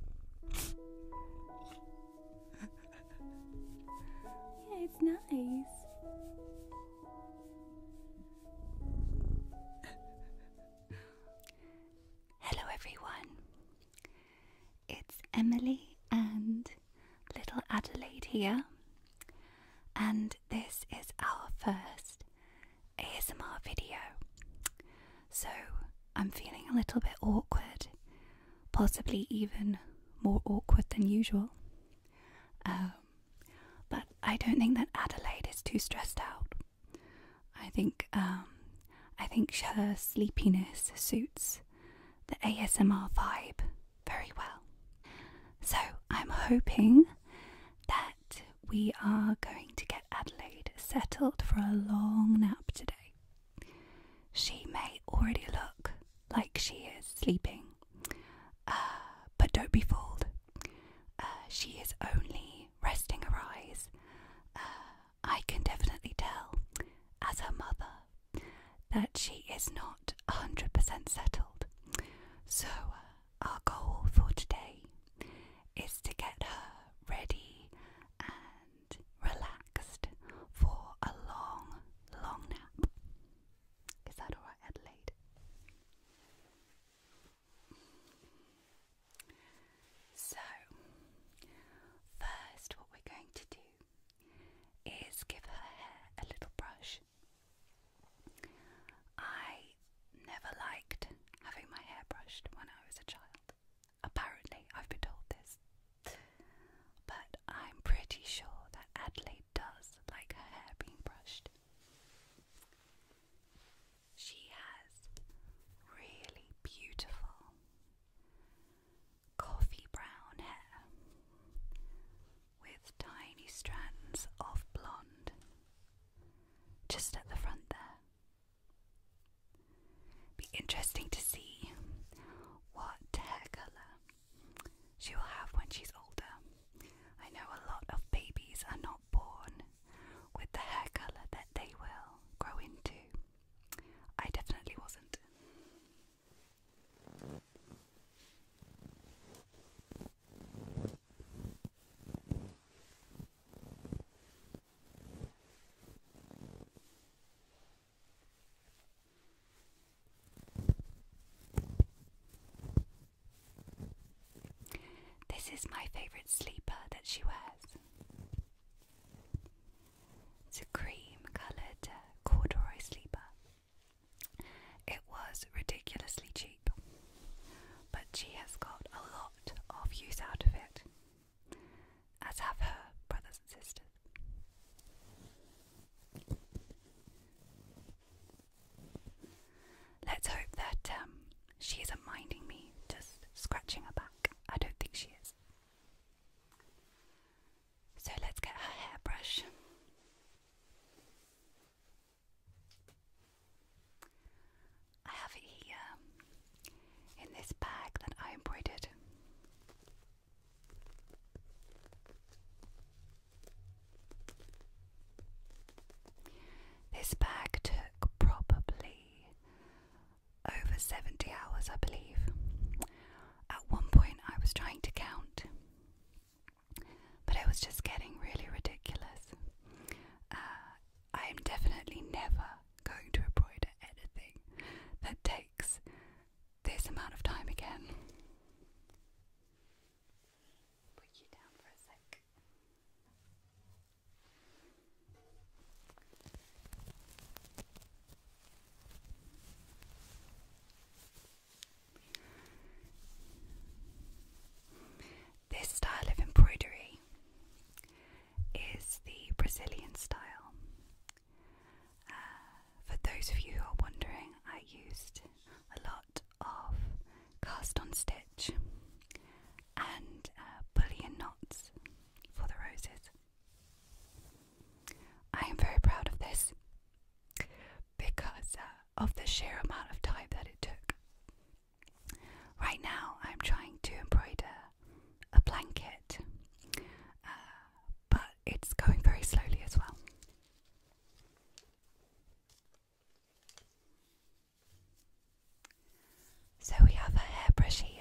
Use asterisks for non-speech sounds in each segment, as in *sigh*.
yeah, it's nice. Hello, everyone. It's Emily and little Adelaide here, and this is our first ASMR video so I'm feeling a little bit awkward, possibly even more awkward than usual. Um, but I don't think that Adelaide is too stressed out. I think um, I think her sleepiness suits the ASMR vibe very well. So I'm hoping that we are going to get Adelaide settled for a long nap today. She may already look like she is sleeping, uh, but don't be fooled. Uh, she is only resting her eyes. Uh, I can definitely tell, as her mother, that she is not 100% settled. So, our goal for today is to get her ready and relaxed for a long, long nap. Is that alright, Adelaide? So, first, what we're going to do is give her hair a little brush. I never liked having my hair brushed when I was a child. Apparently, I've been told this. But I'm pretty sure that Adelaide does like her hair being brushed. She has really beautiful coffee brown hair with tiny strands of blonde just at the front there. Be interesting to see what hair colour she will have when she's older. I know a lot of babies are not born with the hair colour that they will grow into. I definitely wasn't. This is my favourite sleeper that she wears. a cream coloured uh, corduroy sleeper. It was ridiculously cheap, but she has got a lot of use out of it, as have her brothers and sisters. Let's hope that um, she isn't minding me just scratching her back. I don't think she is. So let's get her hairbrush. I have it here in this bag that I embroidered. This bag took probably over 70 hours, I believe. At one point, I was trying to count, but it was just getting really ridiculous. Uh, I am definitely never going to embroider anything that takes this amount of time again. Put you down for a sec. This style of embroidery is the Brazilian style. Uh, for those of you who are wondering, I used a lot of cast on stitch and uh, bullion knots for the roses. I am very proud of this because uh, of the sheer amount of time that it took. Right now, I'm trying to embroider a blanket, uh, but it's going very slowly as well. So we have a hairbrush here.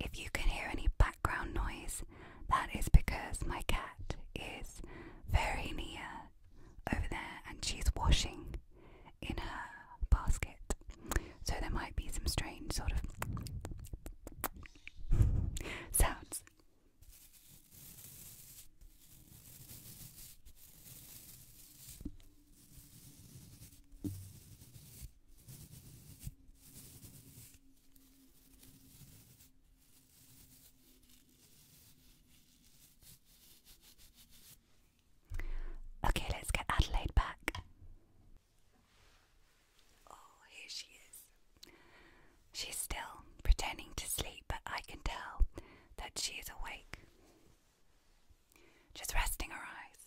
If you can hear any background noise, that is because my cat is very near over there and she's washing in her basket. So there might be some strange sort of sounds. Okay, let's get Adelaide back. Oh, here she is. She's still pretending to sleep, but I can tell that she is awake. Just resting her eyes.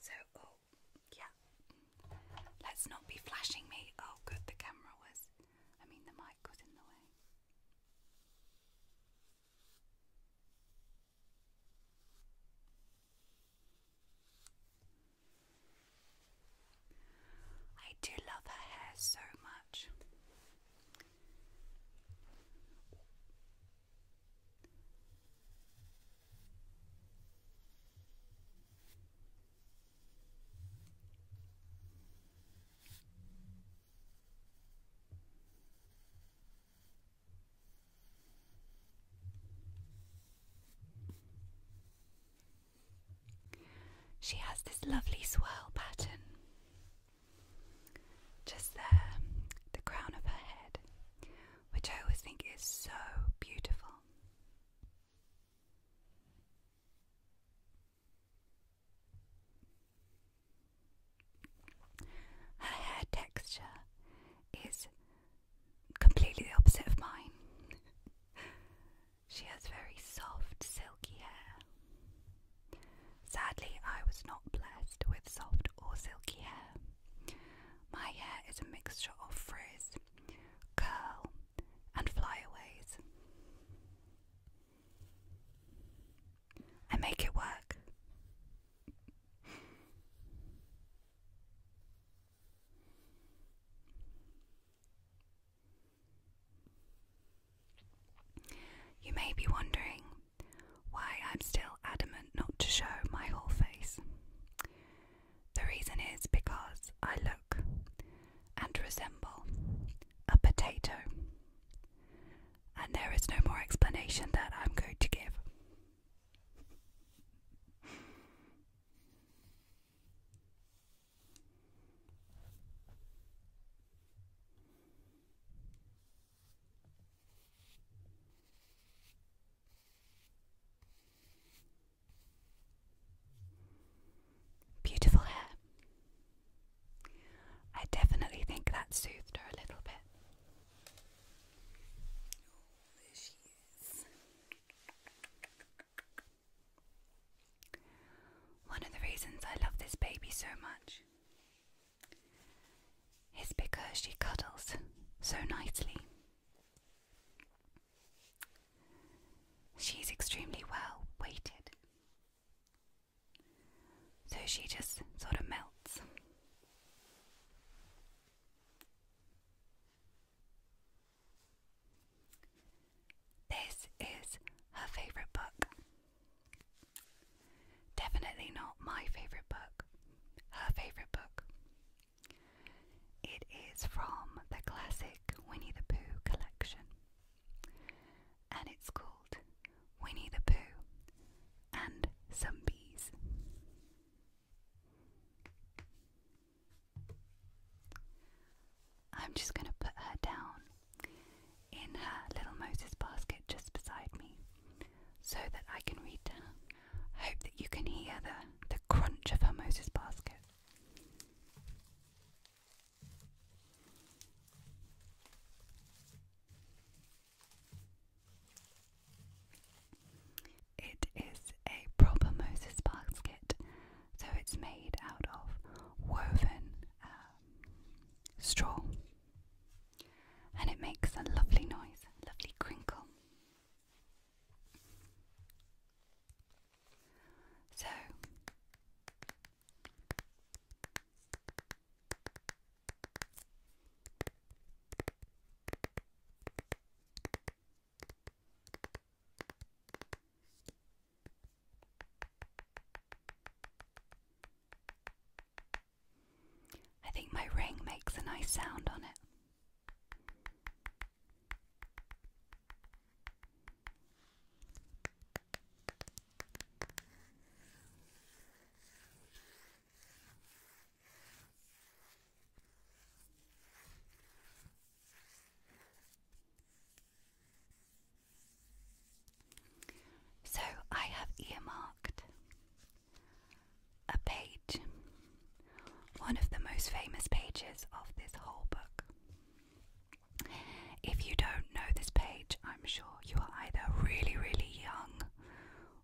So, oh, yeah. Let's not be flashing me. Oh, good, the camera was. I mean, the mic was in the way. I do love her hair so much. She has this lovely swirl pattern just there, the crown of her head, which I always think is so beautiful. Her hair texture is completely the opposite of mine. *laughs* She has very soft, silky hair. Sadly, I was not blessed with soft or silky hair. My hair is a mixture of frizz, curl, and flyaways. I make it work. You may be wondering why I'm still adamant not to show my whole face. The reason is because I look and resemble a potato, and there is no more explanation that I'm going to give. Beautiful hair. I definitely think that soothed her a little bit. Oh, one of the reasons I love this baby so much is because she cuddles so nicely. She's extremely well weighted, so she just sort of melts. This is her favourite book. Definitely not my favourite book, her favourite book. It is from the classic Winnie the Pooh collection, and it's called Winnie the Pooh and Some Bees. I'm just going to put her down in her little Moses basket just beside me so that I can read to I hope that you can hear the, the crunch of her Moses basket. It is a proper Moses basket, so it's made out of woven um, straw and it makes a lovely noise, a lovely crinkle. So, I think my ring makes a nice sound on it. So I have earmarked a page, one of the most famous pages of this whole book. If you don't know this page, I'm sure you are either really, really young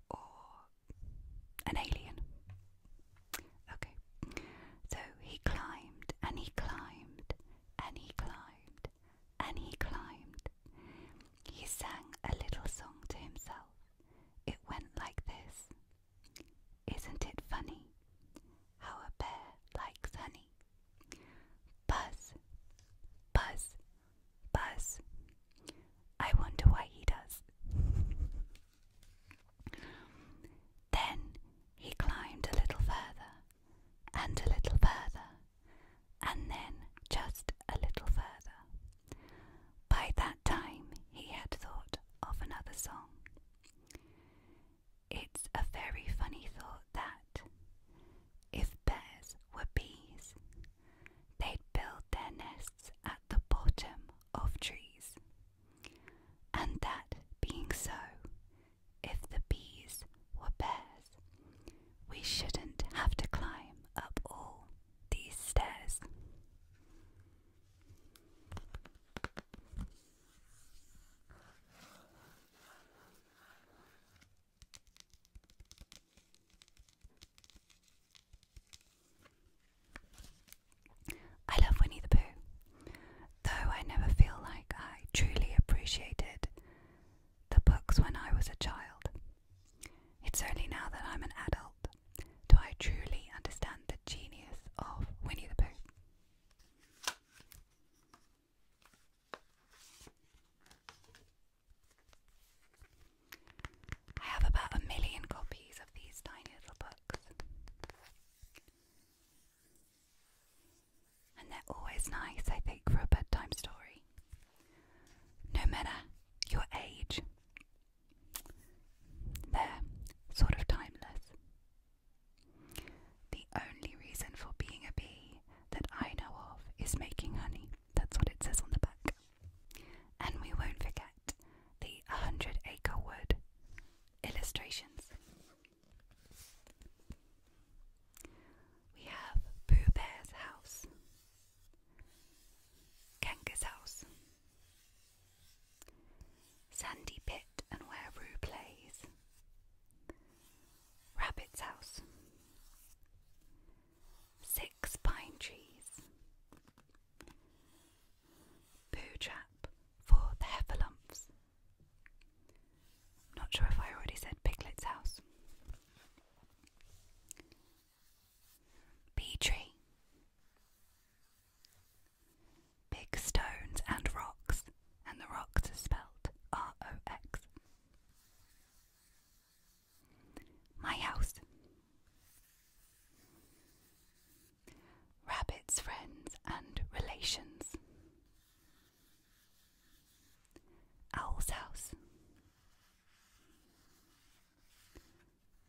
or an alien. Okay. So he climbed and he climbed and he climbed and he climbed. He sang a little song to himself. It went like this Isn't it funny how a bear likes honey? Buzz, buzz, buzz. I wonder why he does. *laughs* Then he climbed a little further, and a little further, and then just a little further. By that time, he had thought of another song. It's a very funny thought that, if bears were bees, they'd build their nests at the bottom of trees. And that being so, if the bees were bears, we shouldn't have to climb up all these stairs. I love Winnie the Pooh, though I never feel like I truly appreciated the books when I was a child. It's only now that I'm an adult do I truly understand the genius of Winnie the Pooh. I have about a million copies of these tiny little books. And they're always nice, I think, for a bedtime story. No matter your age, they're sort of timeless. The only reason for being a bee that I know of is making honey. That's what it says on the back. And we won't forget the 100 acre wood illustrations. We have Pooh Bear's house, Kanga's house, Sandy Pit and where Roo plays, Rabbit's house, Six pine trees. Poo trap for the heffalumps. Not sure if I already said Piglet's house. Bee tree. Big stones and rocks, and the rocks are spelt R O X. My house. Rabbit's friends and relations. Owl's house.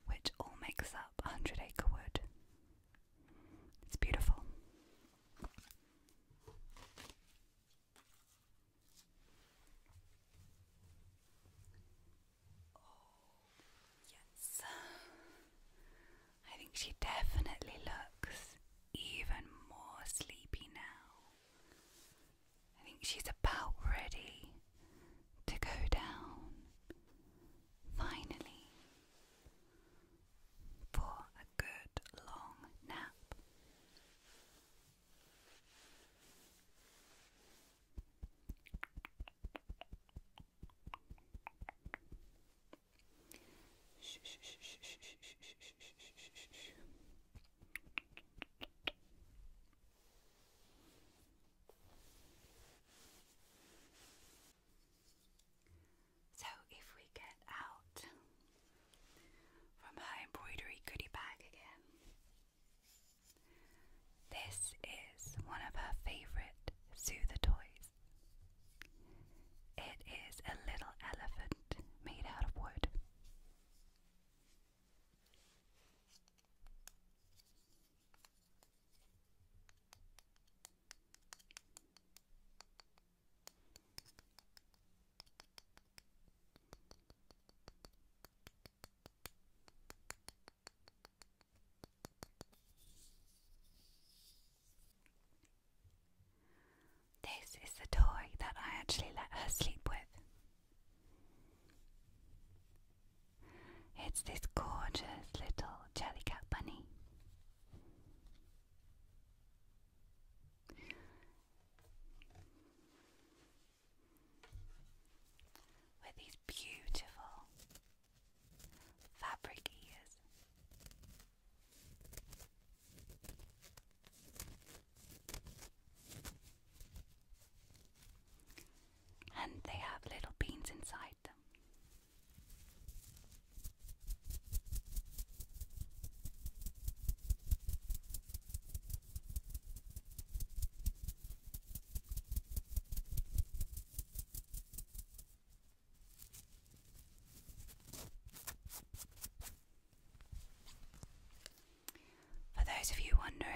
Which all makes up a hundred acre wood. It's beautiful. Oh, yes. I think she definitely looks even more sleepy now. I think she's about ready to go down. Finally, for a good long nap. So, if we get out from her embroidery goodie bag again, this is one of her favorite soother toys. It is a little elephant made out of wood. This is the toy that I actually let her sleep with. It's this gorgeous little jellycat bunny with these beautiful fabric ears. And they have little beans inside them. For those of you wondering,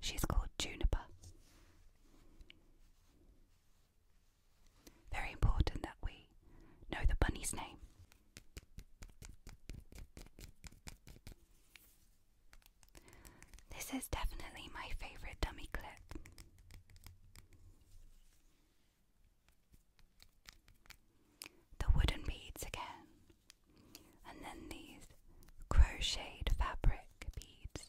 she's called Juniper. Very important that we know the bunny's name this is definitely my favorite dummy clip. The wooden beads again, and then these crocheted fabric beads.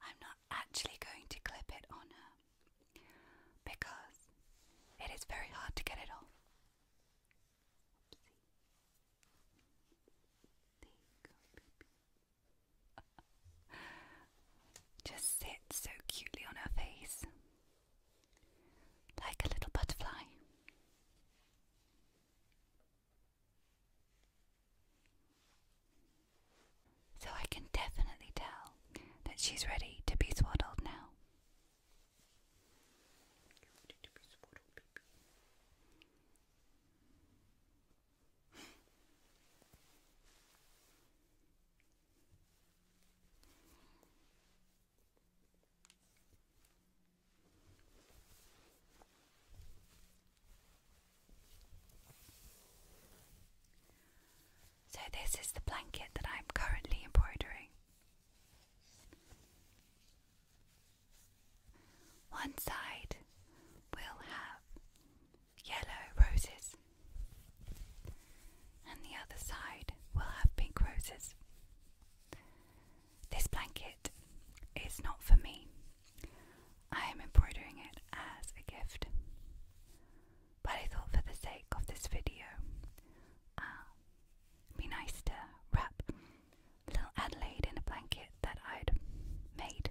I'm not actually going to clip it on her because it is very hard to get it off just sits so cutely on her face, like a little butterfly. So I can definitely tell that she's ready to be swaddled now. So, this is the blanket that I'm currently embroidering. One side will have yellow roses, and the other side will have pink roses. This blanket is not for me. I am embroidering it as a gift. But I thought for the sake of this video, uh, be nice to wrap little Adelaide in a blanket that I'd made.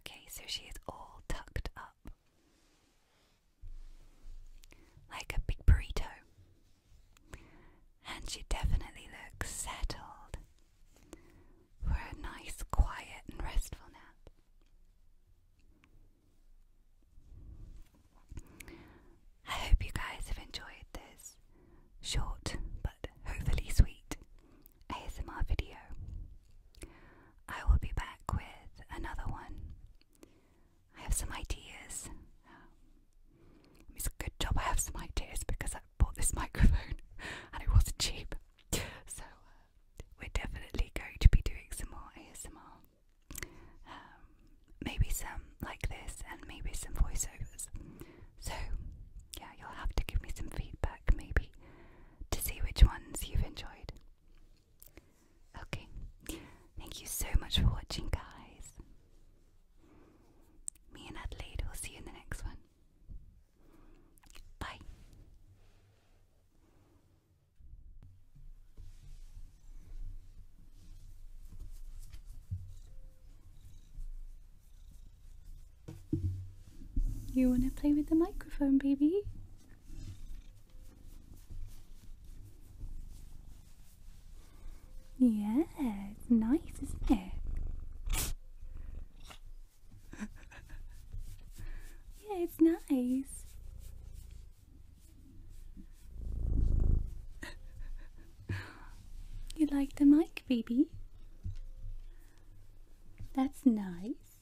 Okay, so she is all tucked up like a big burrito. And she definitely looks settled for a nice, quiet, and restful nap. I hope you guys have enjoyed this short but hopefully sweet ASMR video. I will be back with another one I have some ideas. it's a good job I have some ideas because I bought this *laughs* microphone and it wasn't cheap. So uh, we're definitely going to be doing some more ASMR. Um, maybe some like this and maybe some voiceovers. So yeah, you'll have to give me some feedback maybe to see which ones you've enjoyed. Okay, thank you so much for watching, guys. Me and Adelaide will see you in the next one. Bye. You want to play with the microphone, baby? Yeah, it's nice, isn't it? yeah, it's nice. you like the mic, baby? That's nice.